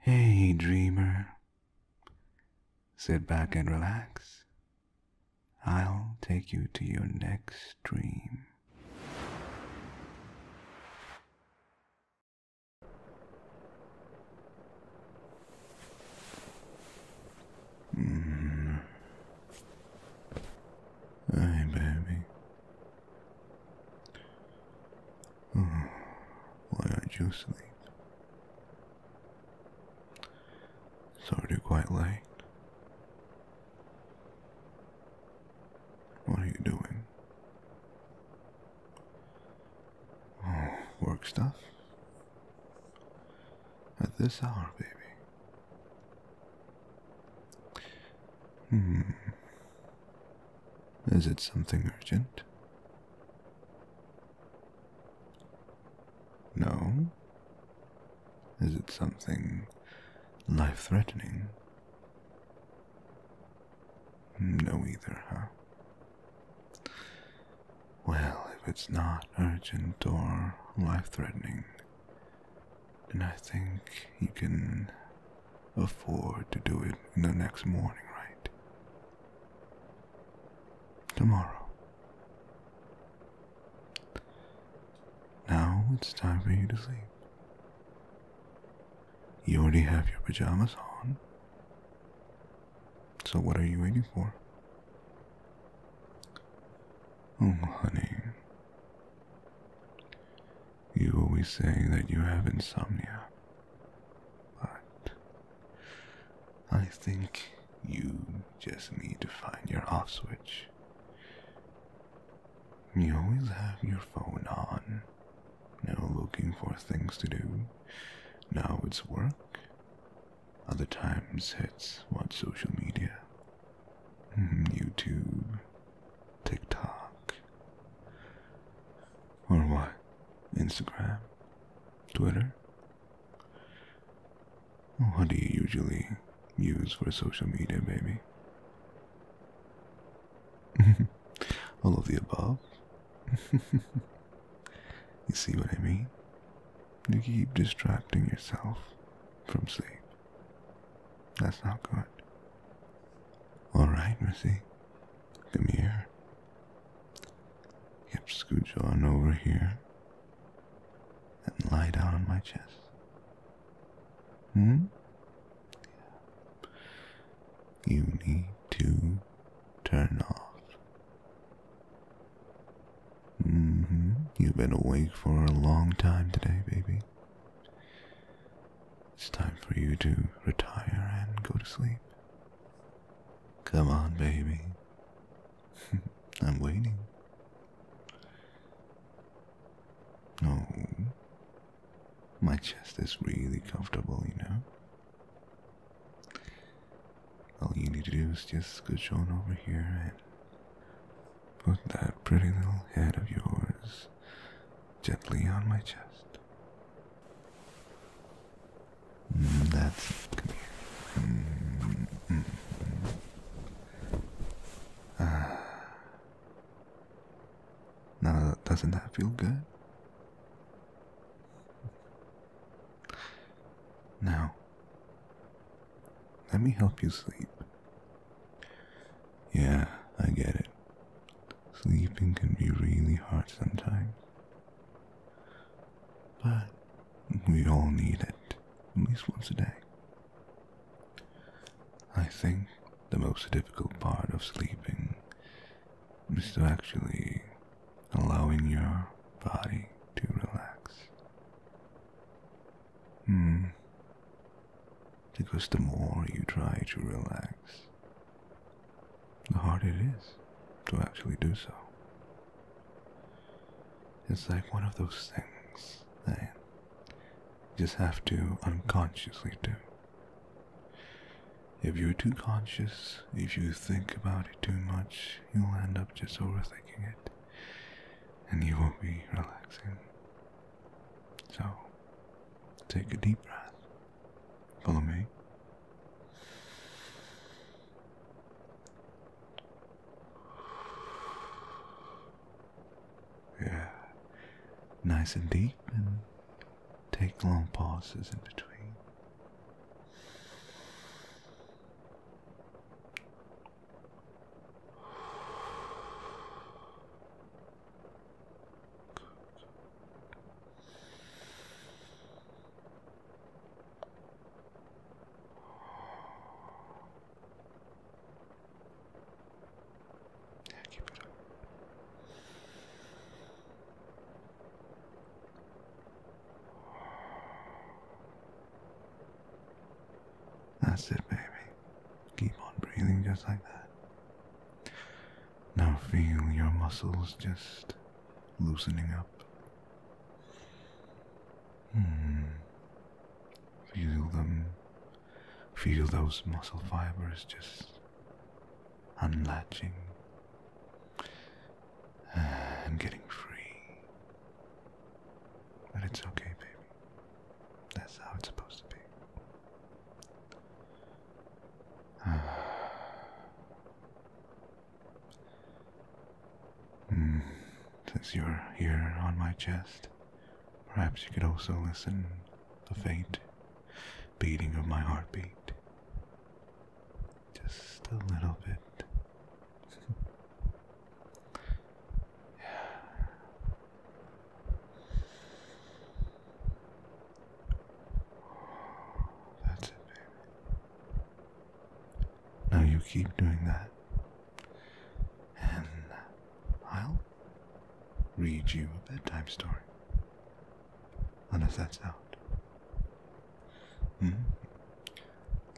Hey, dreamer. Sit back and relax. I'll take you to your next dream. Mm. Mm-hmm. Hey, baby. Hmm. Why aren't you asleep? It's already quite late. What are you doing? Oh, work stuff? At this hour, baby. Hmm. Is it something urgent? No. Is it something life threatening? No, either, huh? Well, if it's not urgent or life threatening, then I think you can afford to do it in the next morning, right? Tomorrow. Now it's time for you to sleep. You already have your pajamas on. So what are you waiting for? Oh, honey. You always say that you have insomnia, but I think you just need to find your off switch. You always have your phone on, now looking for things to do. Now it's work, other times it's watch social media, mm, YouTube, TikTok. Or what? Instagram? Twitter? What do you usually use for social media, baby? All of the above? you see what I mean? You keep distracting yourself from sleep. That's not good. Alright, Mercy. Come here. Yep, scooch on over here. And lie down on my chest. Hmm? Yeah. You need to turn off. Mm hmm. You've been awake for a long time today, baby. It's time for you to retire and go to sleep. Come on, baby. I'm waiting. Oh, my chest is really comfortable, you know. All you need to do is just scooch on over here and put that pretty little head of yours gently on my chest. That's come here. Mm now, doesn't that feel good? Now, let me help you sleep. Yeah, I get it sleeping can be really hard sometimes. But we all need it at least once a day. I think the most difficult part of sleeping is to actually allowing your body to relax. Hmm. Because the more you try to relax, the harder it is to actually do so. It's like one of those things that you just have to unconsciously do. If you're too conscious, if you think about it too much, you'll end up just overthinking it and you won't be relaxing. So, take a deep breath Follow me. Yeah. Nice and deep and take long pauses in between keep it up. That's it, baby. Keep on breathing just like that. Now feel your muscles just loosening up. Hmm. Feel them. Feel those muscle fibers just unlatching and getting free. But it's okay, baby. That's how it's supposed to be. Hmm, since you're here on my chest, perhaps you could also listen the faint beating of my heartbeat. Just a little bit. That's it, baby. Now you keep doing that, and I'll read you a bedtime story. Unless that's out. Hmm?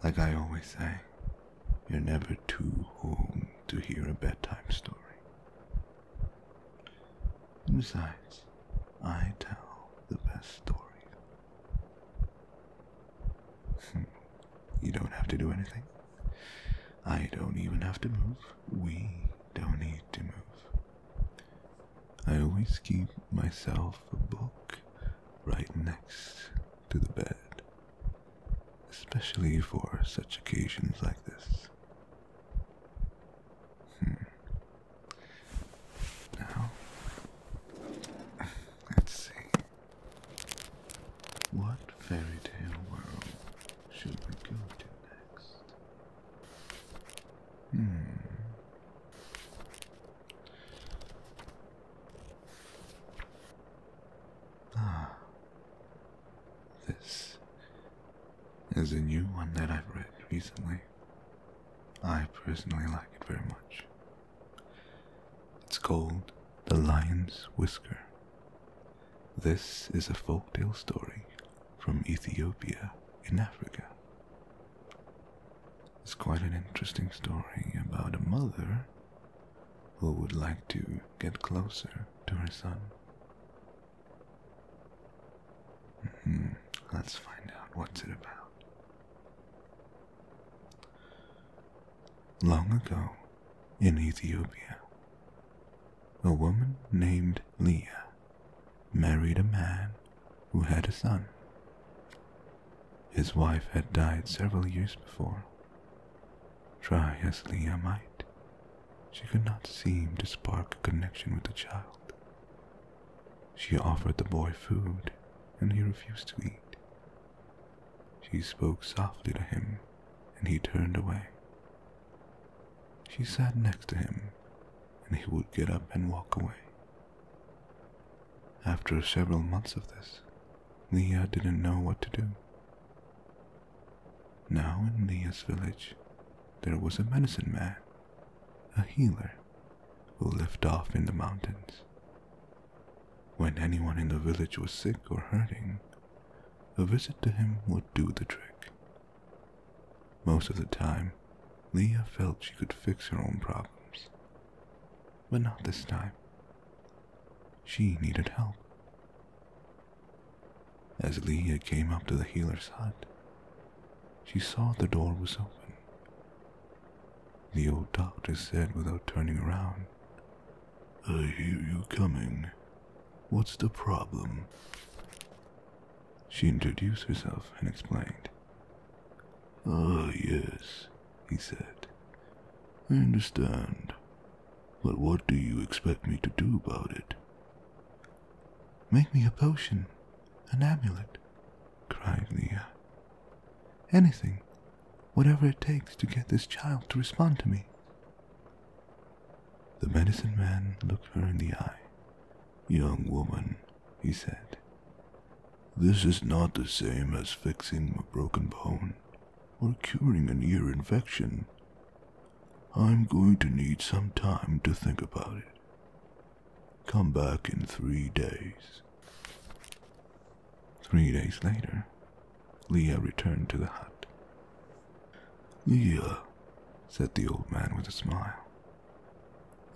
Like I always say, you're never too old to hear a bedtime story. Besides, I tell the best stories. Hmm. you don't have to do anything. I don't even have to move. We don't need to move. I always keep myself a book right next to the bed, especially for such occasions like this. Hmm. Now, let's see. What fairy tale world should we go to next? Hmm. Ah, this is a new one that I've read recently. I personally like it very much. It's called The Lion's Whisker. This is a folktale story from Ethiopia in Africa. It's quite an interesting story about a mother who would like to get closer to her son. Hmm, let's find out what's it about. Long ago, in Ethiopia, a woman named Leah married a man who had a son. His wife had died several years before. Try as Leah might, she could not seem to spark a connection with the child. She offered the boy food, and he refused to eat. She spoke softly to him, and he turned away. She sat next to him, and he would get up and walk away. After several months of this, Leah didn't know what to do. Now in Leah's village, there was a medicine man a healer who lived off in the mountains. When anyone in the village was sick or hurting, a visit to him would do the trick. Most of the time, Leah felt she could fix her own problems. But not this time. She needed help. As Leah came up to the healer's hut, she saw the door was open. The old doctor said without turning around, I hear you coming. What's the problem? She introduced herself and explained. Ah, yes, he said. I understand. But what do you expect me to do about it? Make me a potion, an amulet, cried Leah. Anything, whatever it takes to get this child to respond to me. The medicine man looked her in the eye. Young woman, he said, this is not the same as fixing a broken bone or curing an ear infection. I'm going to need some time to think about it. Come back in three days. Three days later, Leah returned to the hut. Leah, said the old man with a smile,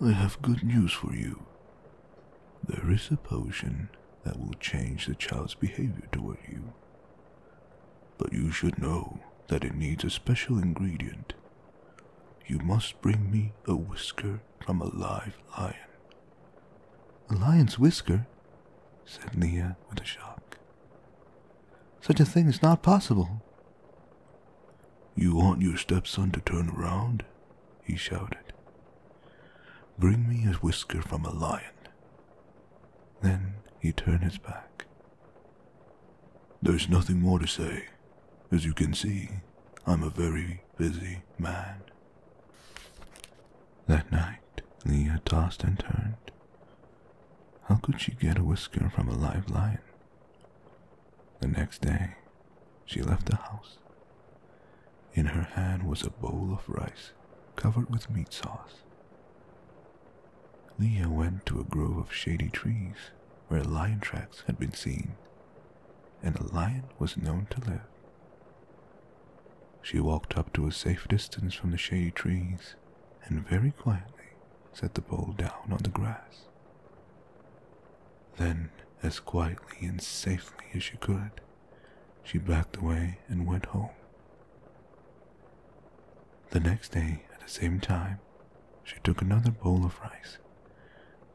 I have good news for you. There is a potion that will change the child's behavior toward you. But you should know that it needs a special ingredient you must bring me a whisker from a live lion. A lion's whisker? said Leah with a shock. Such a thing is not possible. You want your stepson to turn around? he shouted. Bring me a whisker from a lion. Then he turned his back. There's nothing more to say, as you can see, I'm a very busy man. That night, Leah tossed and turned. How could she get a whisker from a live lion? The next day, she left the house. In her hand was a bowl of rice covered with meat sauce. Leah went to a grove of shady trees where lion tracks had been seen, and a lion was known to live. She walked up to a safe distance from the shady trees and very quietly set the pole down on the grass. Then, as quietly and safely as she could, she backed away and went home. The next day, at the same time, she took another bowl of rice,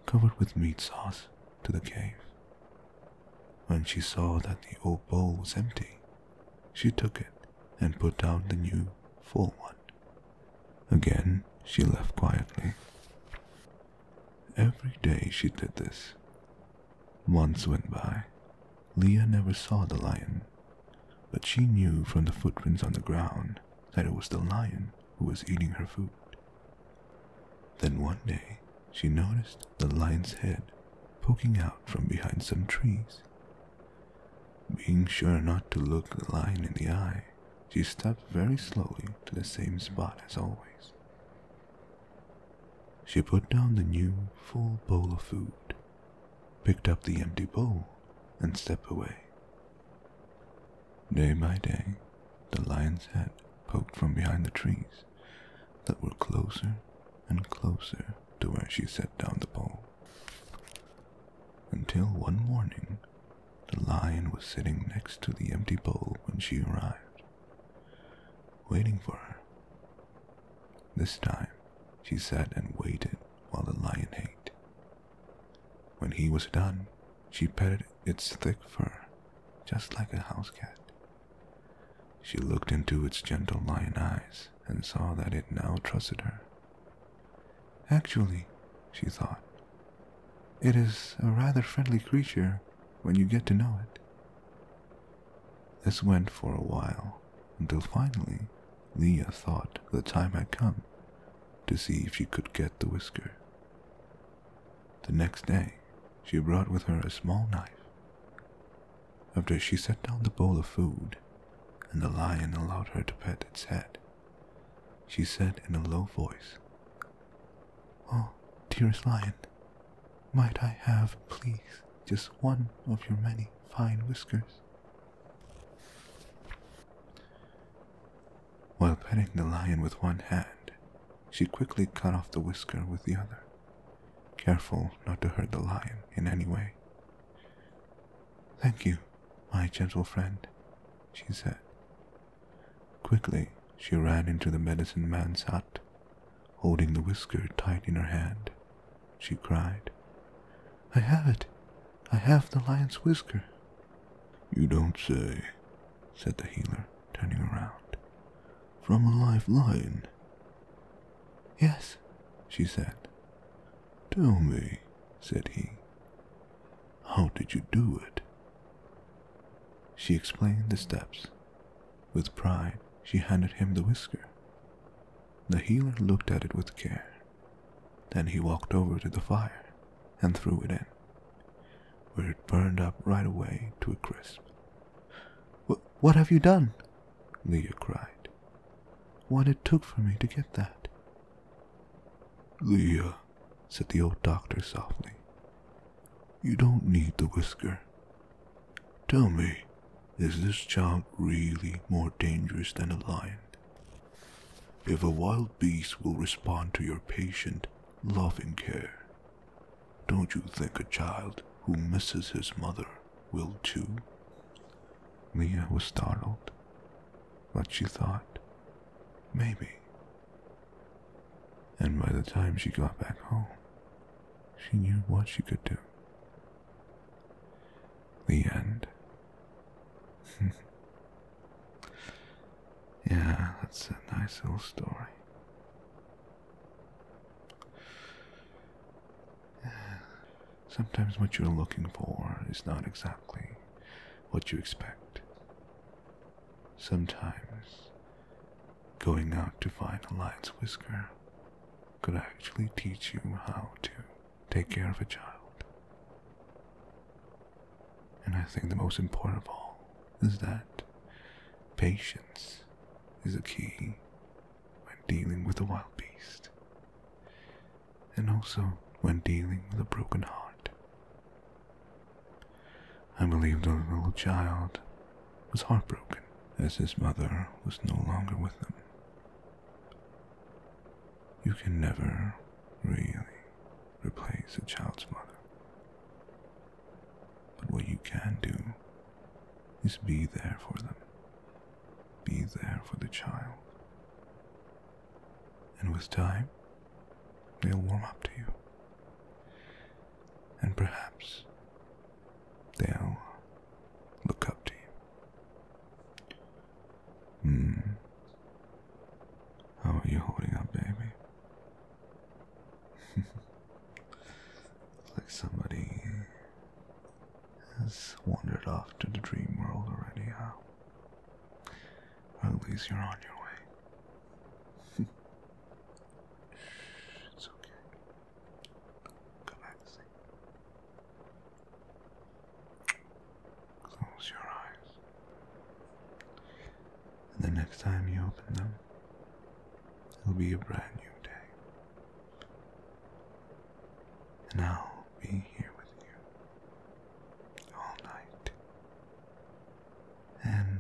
covered with meat sauce, to the cave. When she saw that the old bowl was empty, she took it and put down the new, full one. Again, she left quietly. Every day she did this. Months went by. Leah never saw the lion, but she knew from the footprints on the ground that it was the lion who was eating her food. Then one day she noticed the lion's head poking out from behind some trees. Being sure not to look the lion in the eye, she stepped very slowly to the same spot as always. She put down the new full bowl of food, picked up the empty bowl, and stepped away. Day by day, the lion's head poked from behind the trees that were closer and closer to where she set down the bowl. Until one morning, the lion was sitting next to the empty bowl when she arrived, waiting for her. This time, she sat and waited while the lion ate when he was done, she petted its thick fur, just like a house cat. She looked into its gentle lion eyes and saw that it now trusted her. Actually, she thought, it is a rather friendly creature when you get to know it. This went for a while, until finally Leah thought the time had come to see if she could get the whisker. The next day, she brought with her a small knife. After she set down the bowl of food and the lion allowed her to pet its head, she said in a low voice, Oh, dearest lion, might I have, please, just one of your many fine whiskers? While petting the lion with one hand, she quickly cut off the whisker with the other, careful not to hurt the lion in any way. Thank you, my gentle friend, she said. Quickly, she ran into the medicine man's hut. Holding the whisker tight in her hand, she cried, I have it! I have the lion's whisker. You don't say, said the healer, turning around. From a live lion? Yes, she said. Tell me, said he, how did you do it? She explained the steps. With pride, she handed him the whisker. The healer looked at it with care. Then he walked over to the fire and threw it in where it burned up right away to a crisp. What have you done? Leah cried. What it took for me to get that. Leah, said the old doctor softly, you don't need the whisker. Tell me, is this child really more dangerous than a lion? If a wild beast will respond to your patient, loving care, don't you think a child who misses his mother will too? Leah was startled, but she thought, maybe. And by the time she got back home, she knew what she could do. The end. Yeah, that's a nice little story. Sometimes what you're looking for is not exactly what you expect. Sometimes going out to find a lion's whisker could actually teach you how to take care of a child. And I think the most important of all is that patience is the key when dealing with a wild beast, and also when dealing with a broken heart. I believe the little child was heartbroken as his mother was no longer with them. You can never really replace a child's mother. But what you can do is be there for them, be there for the child. And with time, they'll warm up to you. And perhaps they'll look up to you. Hmm. How are you holding up, baby? Looks like somebody has wandered off to the dream world already, huh? at least you're on your way. it's okay. Go back to Close your eyes. And the next time you open them, it'll be a brand new day. And I'll be here with you all night and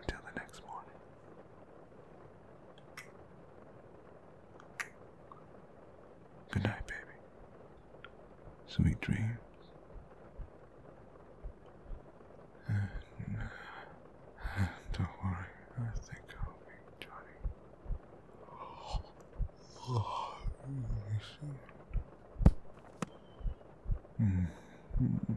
until the next morning. Good night, baby. Sweet dreams. And, uh, don't worry, I think I'll be Johnny. Oh, really soon. Mm. Mm.